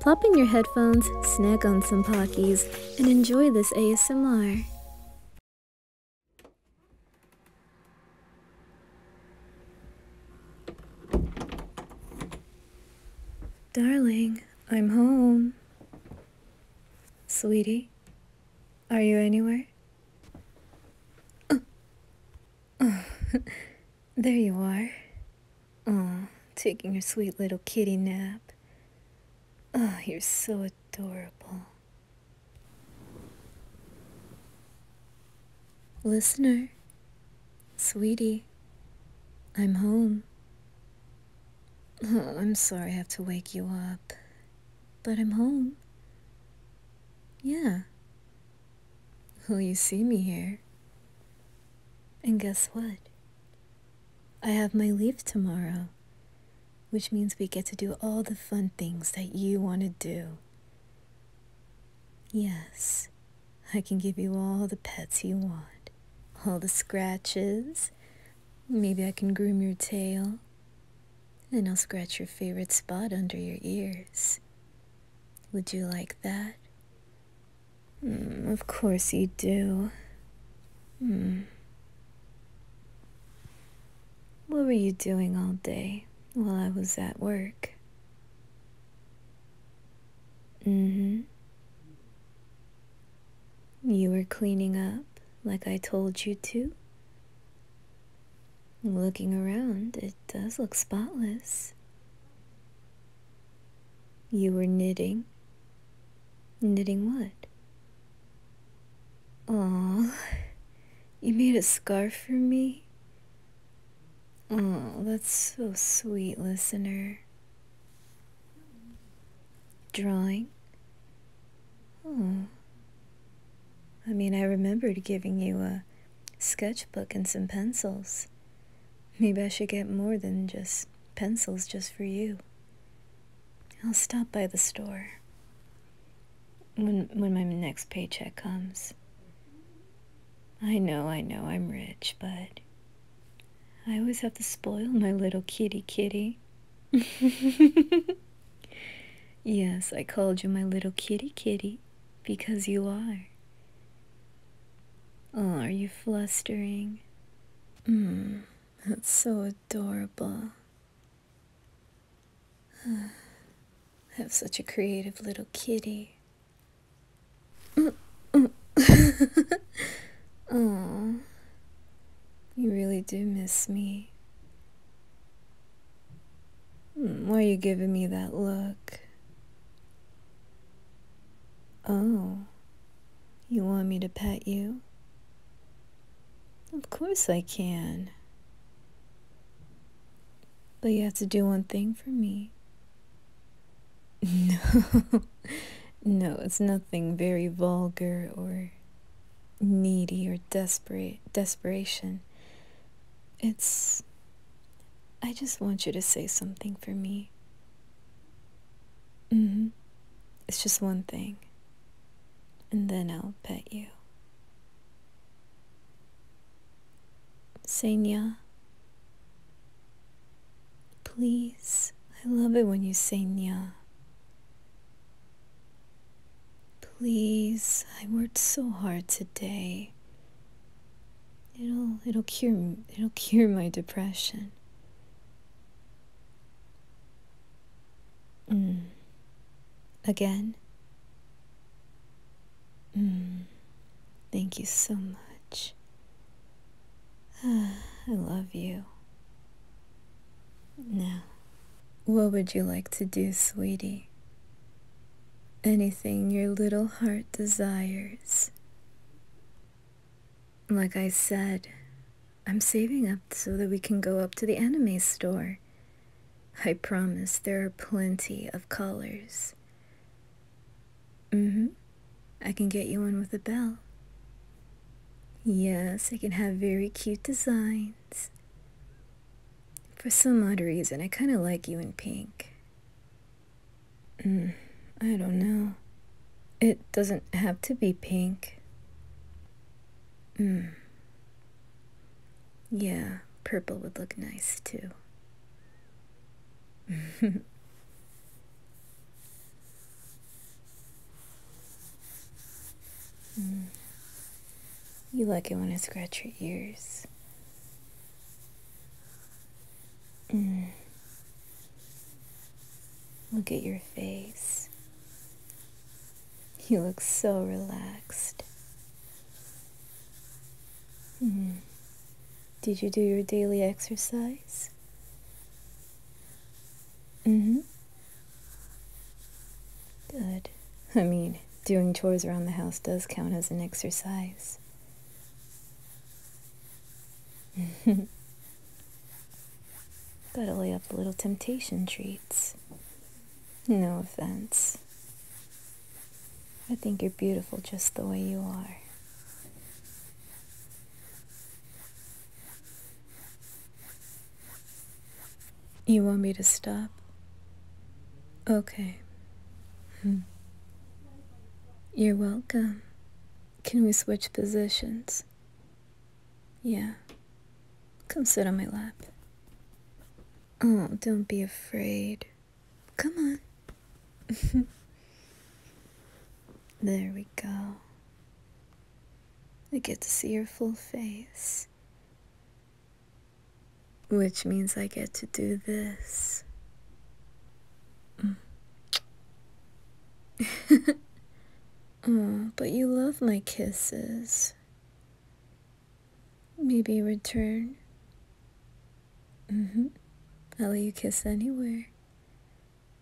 Plop in your headphones, snack on some Pockies, and enjoy this ASMR. Darling, I'm home. Sweetie, are you anywhere? Oh, oh there you are. Oh, taking your sweet little kitty nap. Oh, you're so adorable. Listener, sweetie, I'm home. Oh, I'm sorry I have to wake you up, but I'm home. Yeah. Well, you see me here. And guess what? I have my leave tomorrow, which means we get to do all the fun things that you want to do. Yes, I can give you all the pets you want, all the scratches. Maybe I can groom your tail, and I'll scratch your favorite spot under your ears. Would you like that? Mm, of course you do. Hmm. What were you doing all day while I was at work? Mm-hmm. You were cleaning up like I told you to? Looking around, it does look spotless. You were knitting. Knitting what? Oh, you made a scarf for me? Oh, that's so sweet, listener. Drawing? Oh. I mean, I remembered giving you a sketchbook and some pencils. Maybe I should get more than just pencils just for you. I'll stop by the store when when my next paycheck comes. I know, I know I'm rich, but I always have to spoil my little kitty kitty. yes, I called you my little kitty kitty because you are. Oh, are you flustering? Mmm, that's so adorable. I have such a creative little kitty. oh, you really do miss me. Hmm, why are you giving me that look? Oh, you want me to pet you? Of course I can. But you have to do one thing for me. No, no, it's nothing very vulgar or needy or desperate desperation. It's I just want you to say something for me. Mm hmm. It's just one thing. And then I'll pet you. Senya. Please. I love it when you say nya. Please. I worked so hard today. It'll it'll cure it'll cure my depression. Mm. Again. Mm. Thank you so much. I love you. Now, what would you like to do, sweetie? Anything your little heart desires. Like I said, I'm saving up so that we can go up to the anime store. I promise there are plenty of colors. Mm hmm. I can get you one with a bell. Yes, I can have very cute designs. For some odd reason, I kind of like you in pink. Mm, I don't know. It doesn't have to be pink. Mm. Yeah, purple would look nice too. Mm. You like it when I scratch your ears. Mm. Look at your face. You look so relaxed. Mm. Did you do your daily exercise? Mm-hmm. Good. I mean, doing chores around the house does count as an exercise. Gotta lay up little temptation treats. No offense. I think you're beautiful just the way you are. You want me to stop? Okay. Hmm. You're welcome. Can we switch positions? Yeah. Come sit on my lap. Oh, don't be afraid. Come on. there we go. I get to see your full face. Which means I get to do this oh, but you love my kisses. Maybe return. Mm-hmm. I'll let you kiss anywhere.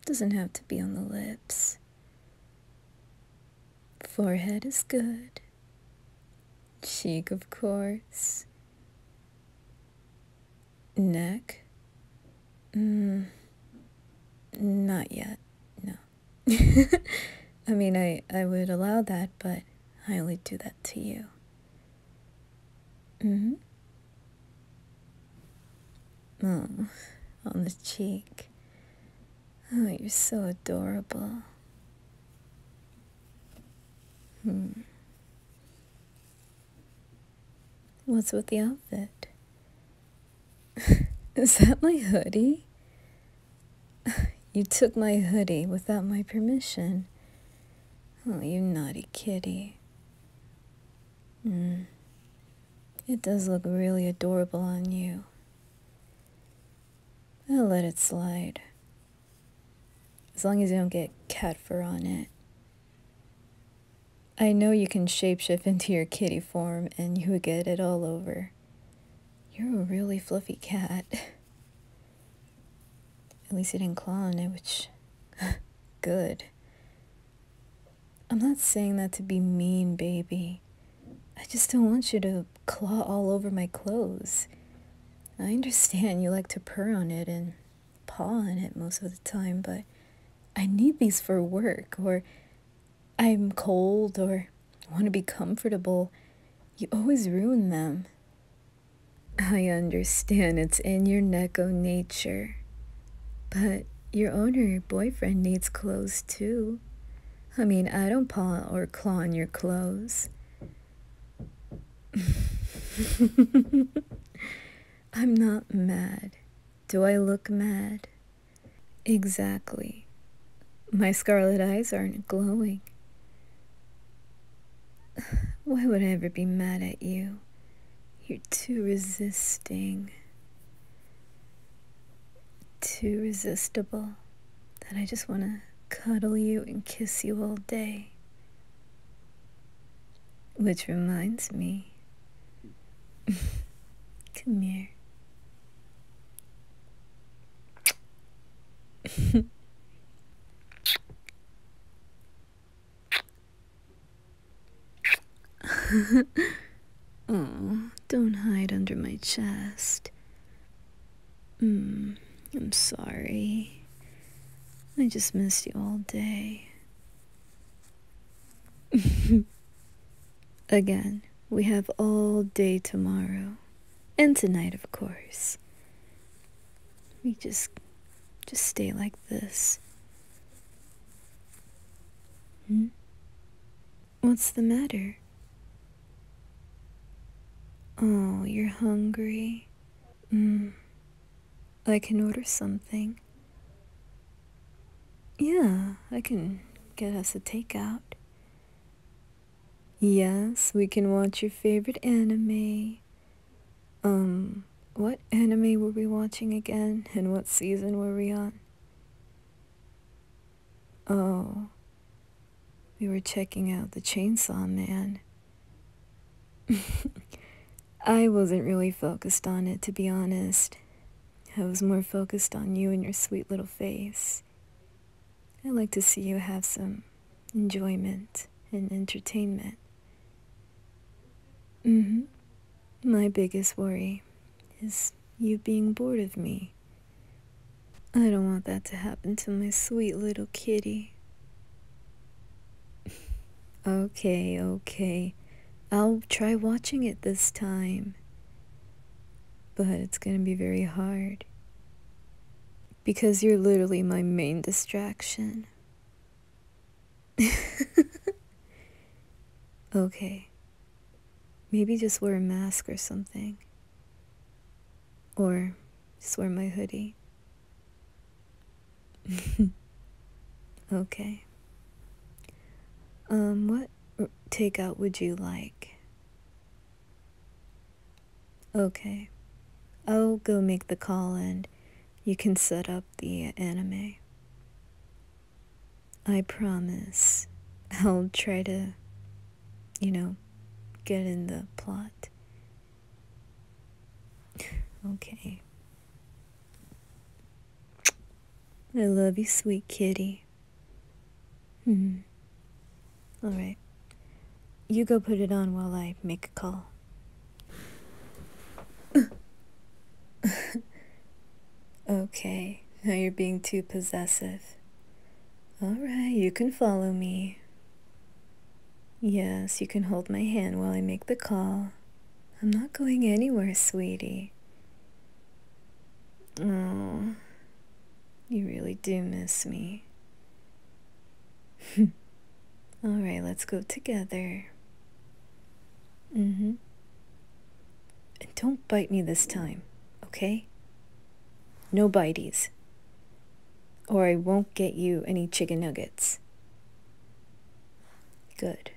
Doesn't have to be on the lips. Forehead is good. Cheek, of course neck? Mm, not yet, no. I mean, I, I would allow that, but I only do that to you. Mm-hmm. Oh, on the cheek. Oh, you're so adorable. Hmm. What's with the outfit? Is that my hoodie? You took my hoodie without my permission. Oh, you naughty kitty. Hmm. It does look really adorable on you. I'll let it slide. As long as you don't get cat fur on it. I know you can shapeshift into your kitty form and you would get it all over. You're a really fluffy cat. At least you didn't claw on it, which... good. I'm not saying that to be mean, baby. I just don't want you to claw all over my clothes. I understand you like to purr on it and paw on it most of the time, but I need these for work, or I'm cold, or want to be comfortable. You always ruin them. I understand it's in your neko nature, but your owner, your boyfriend, needs clothes too. I mean, I don't paw or claw on your clothes. I'm not mad. Do I look mad? Exactly. My scarlet eyes aren't glowing. Why would I ever be mad at you? You're too resisting. Too resistible that I just want to cuddle you and kiss you all day. Which reminds me. Come here. oh, don't hide under my chest. Mm, I'm sorry. I just missed you all day. Again, we have all day tomorrow. And tonight, of course. We just just stay like this. Hmm? What's the matter? Oh, you're hungry. Mm. I can order something. Yeah, I can get us a takeout. Yes, we can watch your favorite anime. Um, what anime were we watching again, and what season were we on? Oh, we were checking out The Chainsaw Man. I wasn't really focused on it, to be honest. I was more focused on you and your sweet little face. I like to see you have some enjoyment and entertainment. Mm-hmm. My biggest worry is you being bored of me. I don't want that to happen to my sweet little kitty. Okay, okay. I'll try watching it this time. But it's gonna be very hard. Because you're literally my main distraction. okay. Maybe just wear a mask or something. Or just wear my hoodie. okay. Um, what takeout would you like? Okay. I'll go make the call and you can set up the anime. I promise I'll try to, you know, get in the plot. Okay. I love you, sweet kitty. Hmm. All right. You go put it on while I make a call. okay. Now you're being too possessive. All right, you can follow me. Yes, you can hold my hand while I make the call. I'm not going anywhere, sweetie. Oh, you really do miss me. All right, let's go together. Mm-hmm. And don't bite me this time, okay? No bites or I won't get you any chicken nuggets. Good.